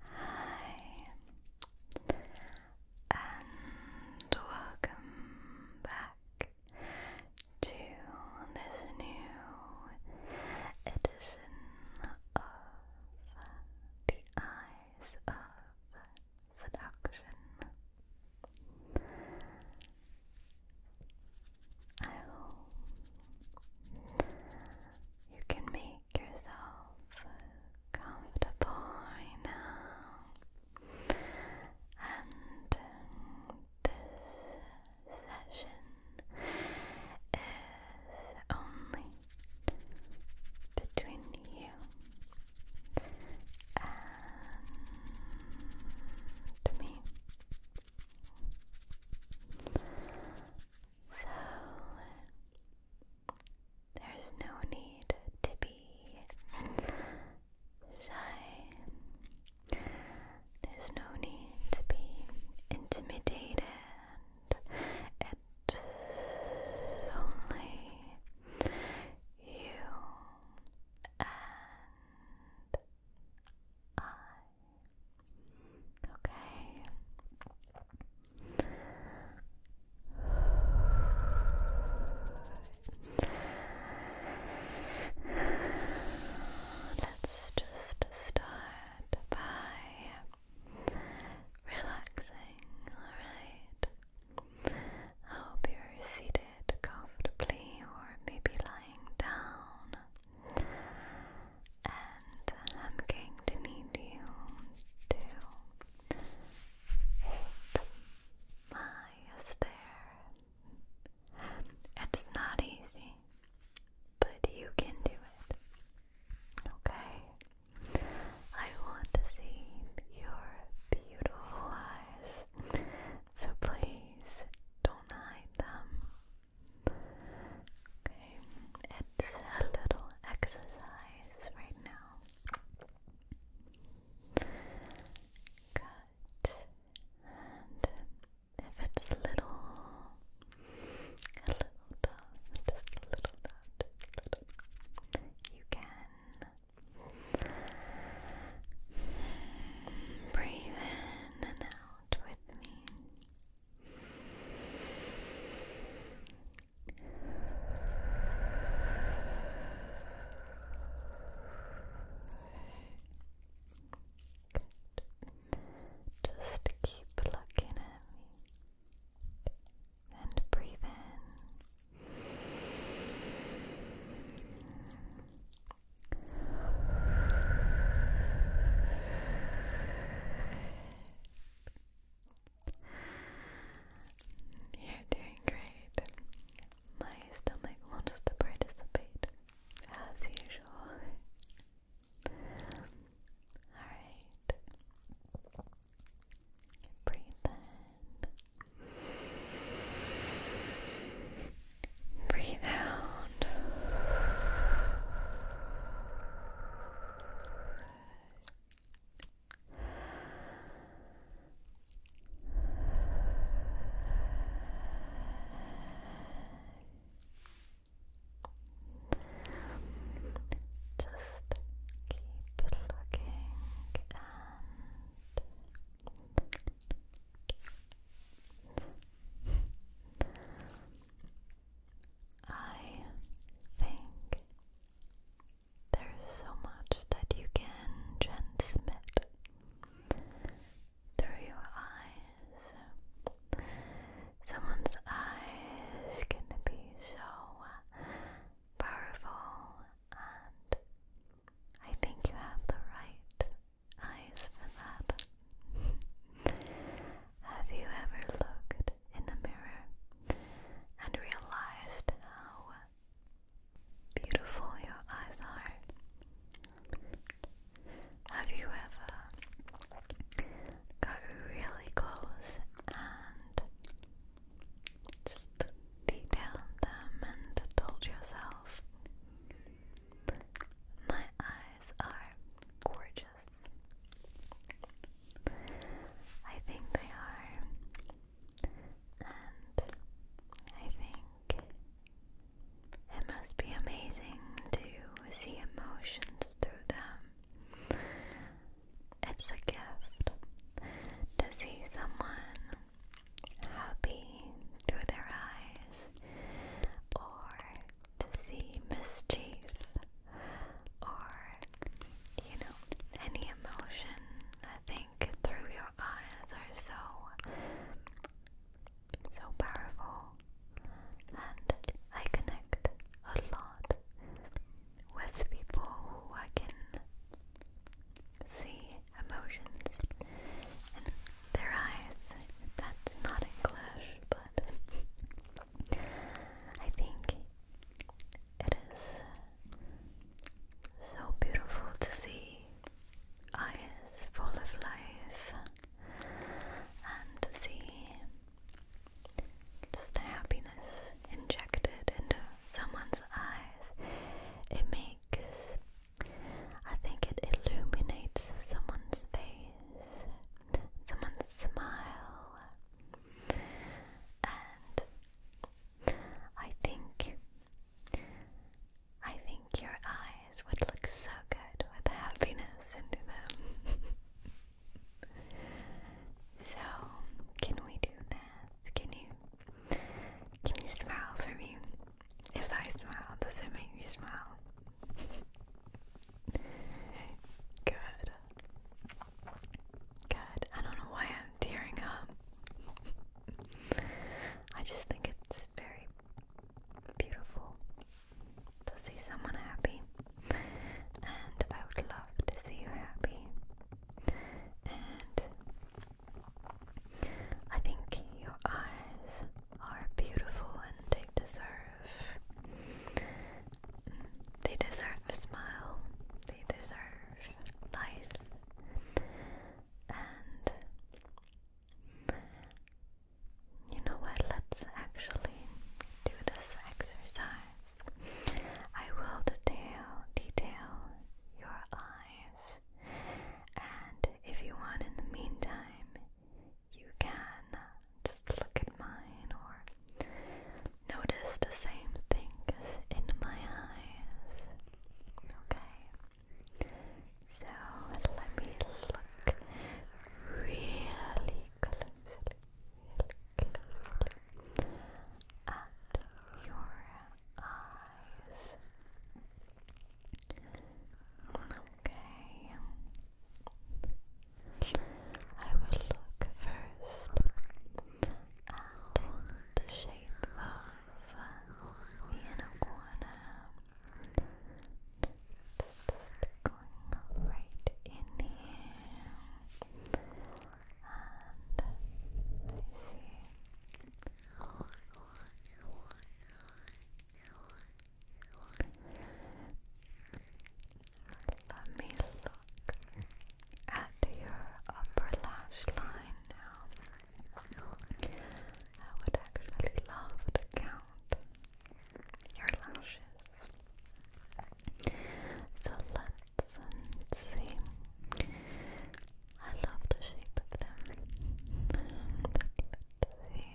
Hi, and welcome back to this new edition of The Eyes of Seduction. I hope you can make yourself comfortable now. And um, this session is only between you and me. So, there's no need to be shy. There's no need to be intimidated. It's only you and I. Okay. Let's just start by relaxing, alright? I hope you're seated comfortably or maybe lying down. And I'm going to need you to hold my stare. It's not easy, but you can do it. Okay? I want to see your beautiful eyes, so please don't hide them. Okay, it's a little exercise right now. Good. And if it's a little, a little tough, just a little tough, you can breathe in and out with me. Good. Just keep looking at me and breathe in. You're doing great. My stomach will just participate as usual. Alright. Breathe in. Breathe out. Just keep looking and I think there's so much that you can transmit through your eyes. Someone's eyes can be so powerful, and I think you have the right eyes for that. Have you ever looked in the mirror and realized how beautiful your eyes are? Have you ever got really close and just detailed them and told yourself, my eyes are gorgeous. I think they are. And I think it must be amazing to see emotions through them. It's a gift to see someone happy through their eyes or to see mischief or, you know, any emotion. I think through your eyes are so, so powerful. And I connect a lot with people who I can see emotions in their eyes. That's not English, but I think it is so beautiful to see eyes full of life and to see just the happiness injected into someone's eyes. It makes, I think it illuminates someone's face, someone's smile and I think I think your eyes would look so good with happiness into them. so can we do that? Can you can you smile for me? If I smile, does it make you smile? Good. Good. I don't know why I'm tearing up. I just think it's very beautiful to see someone happy. And I would love to see you happy. And I think your eyes are beautiful and they deserve they deserve a smile. They deserve life. And you know what? Let's actually do this exercise. I will detail detail your eyes. And if you want in the meantime, you can just look at mine or notice the same things in my eyes. Okay? So let me look really closely, at your eyes. Okay. I will look first at the shape of the inner corner. Just going right in here. And see let me look at your upper lash line now. I would actually love to count your lashes. So let see. I love the shape of them. see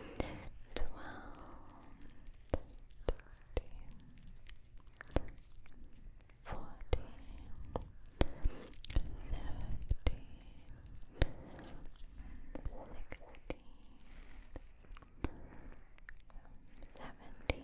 twelve, thirteen, fourteen, fifteen, sixteen, seventeen, eighteen. 19,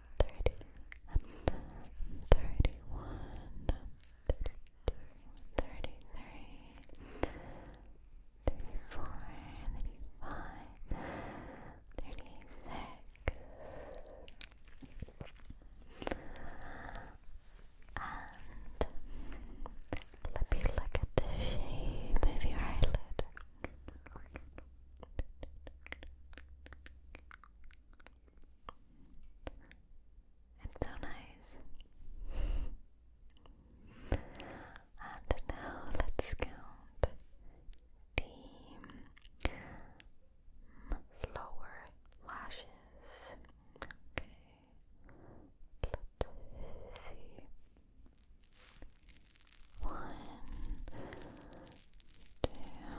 thirty, thirty-one, thirty-two, thirty-three, thirty-four, thirty-five, thirty-six. And let me look at the shape of your eyelid. It's so nice. and now let's count the lower lashes. Okay. Let's see. One, two, three.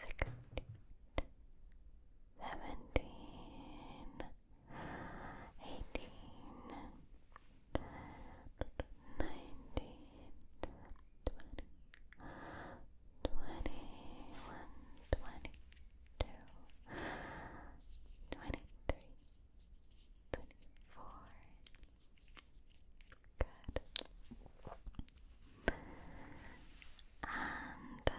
sixteen, seventeen, eighteen, nineteen, twenty, twenty-one, twenty-two, twenty-three. 24 Good. And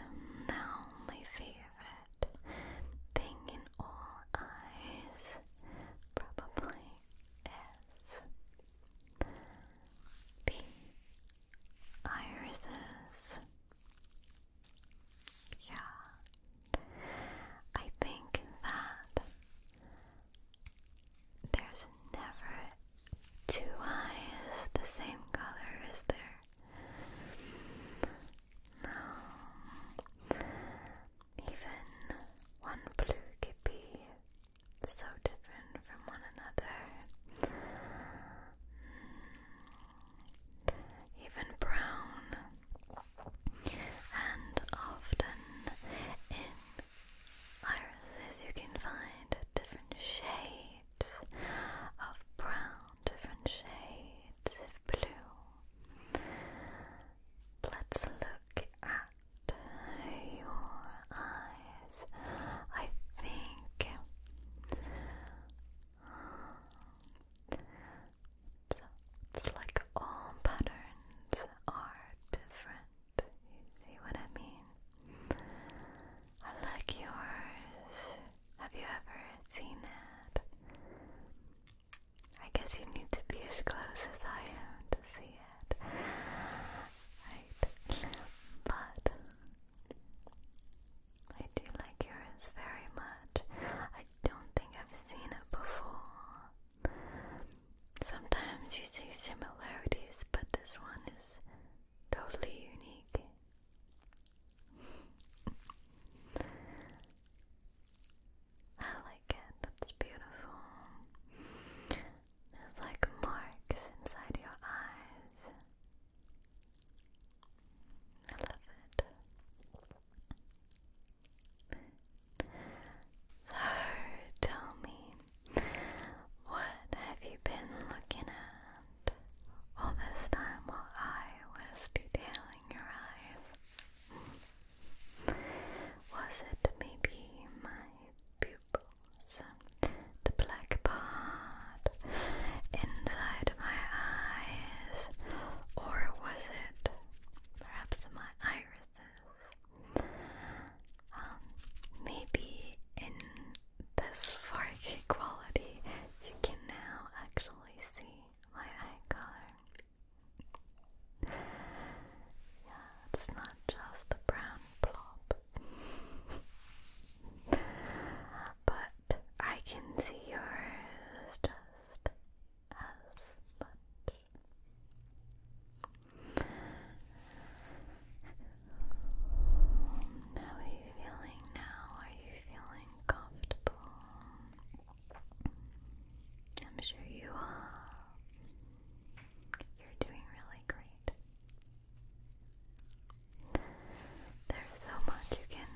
now my favorite thing in all eyes probably is the irises. Yeah. I think that there's never two eyes the same color, is there? No. Even one blue could be so different from one another. Hmm. Even brown. And often in irises you can find different shades of brown, different shades of blue. Let's look at your eyes. I think it's like all patterns are different. You see what I mean? I like yours. Have you ever seen it? I guess you need to be as close as I am to see it. But I do like yours very much. I don't think I've seen it before. Sometimes you see similarities, but this one totally unique. I like it, that's beautiful. There's like marks inside your eyes. I love it. So, tell me, what have you been looking at all this time while I was detailing your eyes? Was it maybe my pupils? The black part inside my eyes? Or was it perhaps my irises? Um, maybe in this 4 quality, you can now actually see my eye color. Yeah, it's not just the brown blob. but I can see yours just as much. How are you feeling now? Are you feeling comfortable? I'm sure you are. You're doing really great. There's so much you can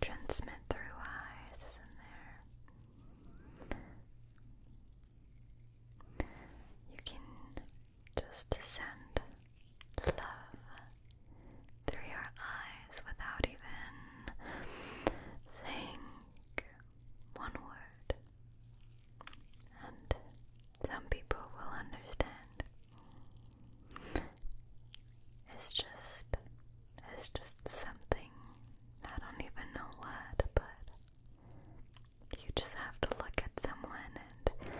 transmit through eyes, isn't there? You can just to send love through your eyes without even saying one word. And some people will understand. It's just, it's just something. I don't even know what, but you just have to look at someone and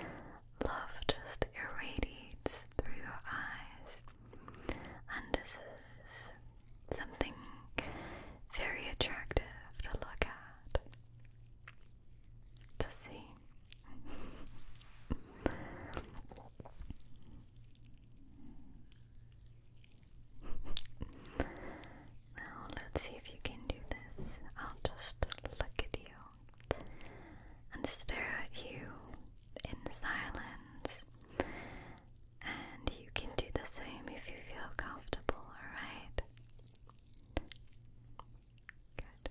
love just irradiates through your eyes. And this is something very attractive to look at. To see. Now let's see if you can do this. I'll just look at you and stare at you in silence. And you can do the same if you feel comfortable, alright? Good.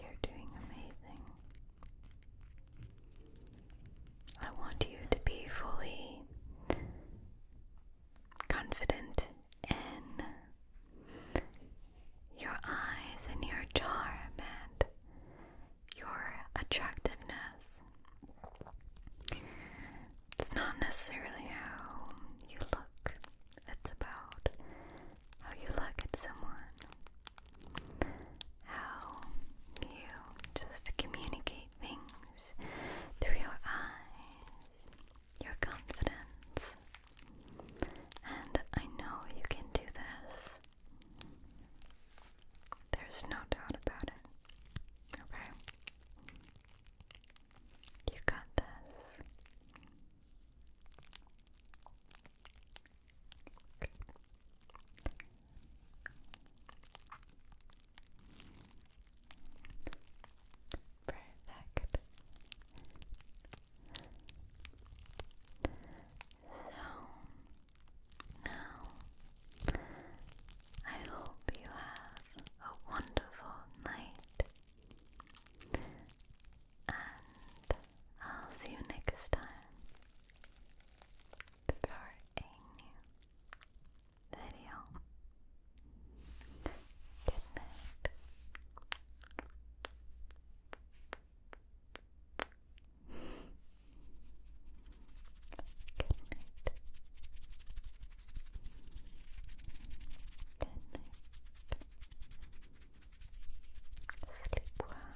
You're doing amazing. I want you to be fully confident in your eyes and your charm and your attractiveness. It's not necessarily how you look, it's about how you look at someone, how you just communicate things through your eyes, your confidence. And I know you can do this. There's no doubt about it. Okay? You got this. Perfect. So now I hope you have a wonderful night. And I'll see you next time for video. Good night. Good night. Good night. Sleep well.